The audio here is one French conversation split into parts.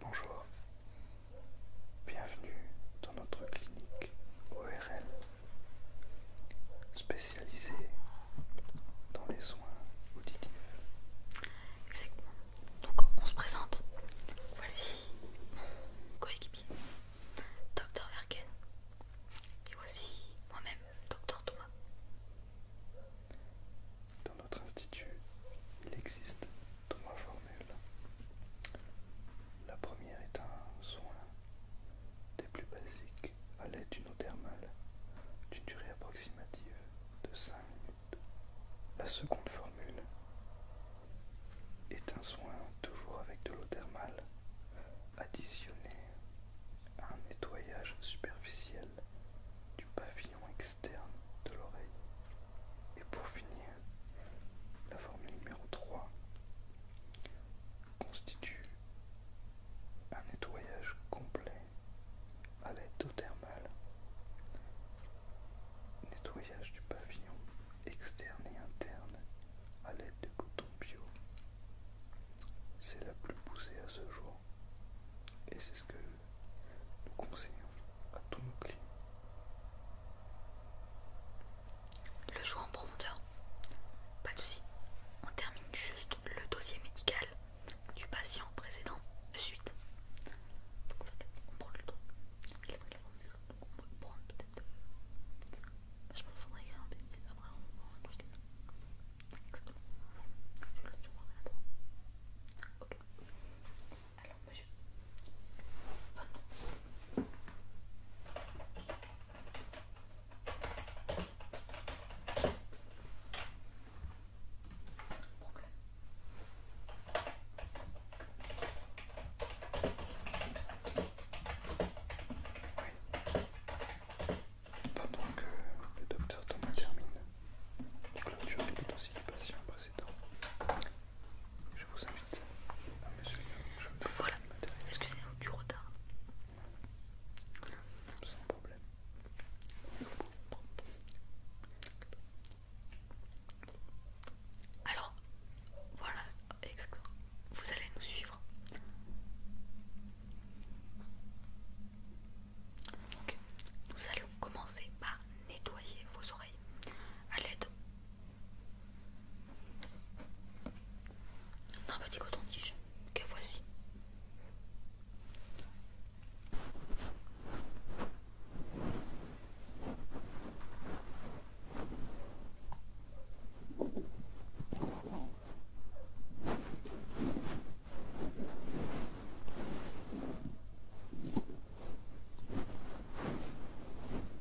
Bonjour, bienvenue dans notre clinique ORL spécialisé dans les soins auditifs. Exactement. Donc on se présente. Voici mon coéquipier, Dr Verken, et voici moi-même, Docteur Thomas. Dans notre institut, il existe Thomas Formule. La première est un soin des plus basiques à l'aide d'une eau thermale d'une durée approximative de 5 minutes. La seconde formule est un soin toujours avec de l'eau thermale additionné à un nettoyage superficiel du pavillon externe de l'oreille. Et pour finir, la formule numéro 3 constitue un nettoyage complet à l'aide d'eau thermale, nettoyage du pavillon externe et interne à l'aide de coton bio. C'est la plus poussée à ce jour et c'est ce que nous conseillons à tous nos clients. Le jour en profondeur. Pas de soucis. On termine juste le dossier médical du patient précédent de suite. Donc on prend le dos. Il est on peut prendre peut-être. Euh, je pense qu'il faudrait écrire un petit après on prend un truc. Exactement. Je vais le Ok. Alors monsieur. Oui. Pendant que le docteur Thomas termine, tu clôtures les dossiers du patient je vous invite ah, à me voilà, excusez moi du retard. Sans problème. Alors, voilà, exactement. Vous allez nous suivre. Donc, nous allons commencer par nettoyer vos oreilles à l'aide un petit coton-tige que voici.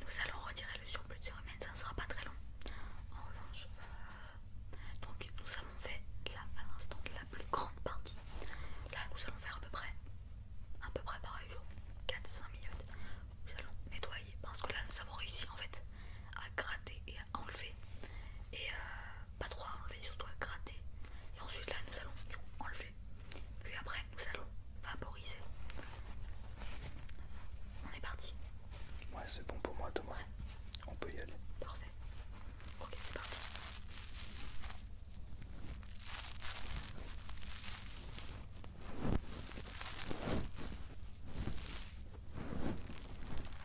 nous allons retirer le surplus de cérumen, ça ne sera pas très long. En revanche, euh, donc nous avons fait là à l'instant la plus grande partie. Là, nous allons faire à peu près, peu pareil jour, 4-5 minutes. Nous allons nettoyer parce que là, nous avons réussi en fait à gratter et enlever et euh, pas trop enlever, surtout à gratter et ensuite là nous allons enlever puis après nous allons vaporiser on est parti ouais c'est bon pour moi Thomas on peut y aller parfait ok c'est parti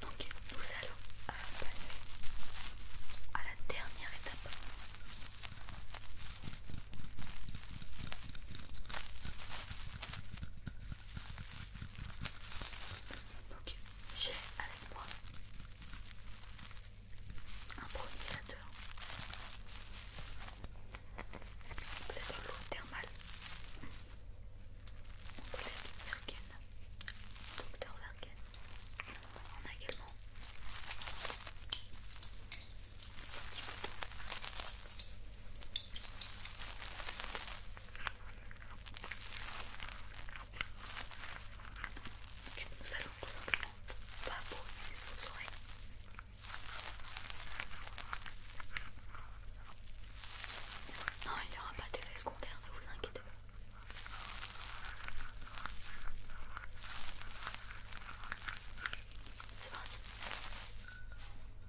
Donc nous allons euh, passer à la dernière étape j'ai avec moi un pronisateur. C'est de l'eau thermale. Mon collègue Verken, docteur Verken, On a également un petit bouton. Et nous allons tout simplement vaporiser vos oreilles. Non, il n'y aura pas d'effet secondaire, ne vous inquiétez pas. C'est parti.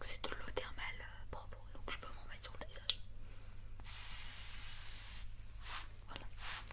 C'est de l'eau thermale euh, propre, donc je peux m'en mettre sur le visage. Voilà.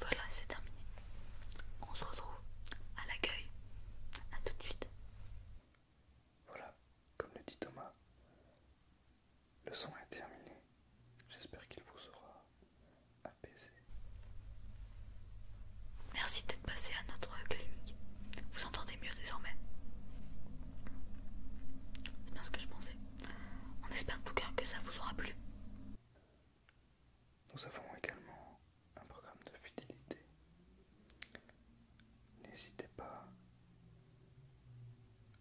Voilà, c'est terminé. On se retrouve à l'accueil. A tout de suite. Voilà, comme le dit Thomas, le son est terminé. J'espère qu'il vous aura apaisé. Merci d'être passé à notre clinique. Vous entendez mieux désormais. C'est bien ce que je pensais. On espère tout cas que ça vous aura plu. Nous avons également un programme de fidélité. N'hésitez pas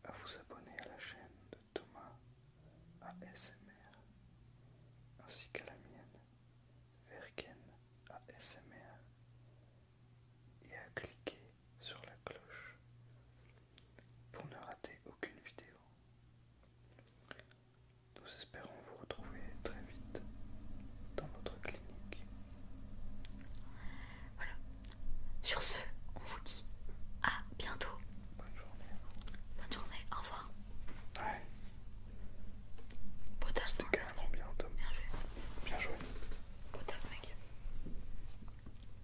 à vous abonner à la chaîne de Thomas ASMR ainsi qu'à la mienne Verken ASMR et à cliquer sur la cloche pour ne rater aucune vidéo. Nous espérons vous retrouver très vite dans notre clinique. Voilà. Sur ce, on vous dit à bientôt. Bonne journée. Bonne journée. Au revoir. Ouais. bien, Bien joué. Bien joué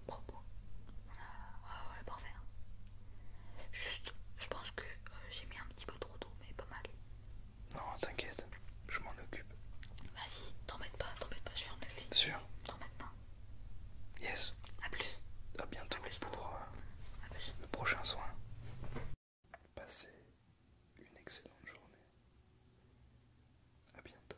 propos. ouais, ah ouais, parfait. Hein. Juste, je pense que euh, j'ai mis un petit peu trop d'eau, mais pas mal. Non, t'inquiète, je m'en occupe. Vas-y, t'embête pas, t'embête pas, je ferme la clé. Sûr T'embête pas. Yes. A plus. A bientôt pour, euh, le prochain soin. Passez une excellente journée. A bientôt.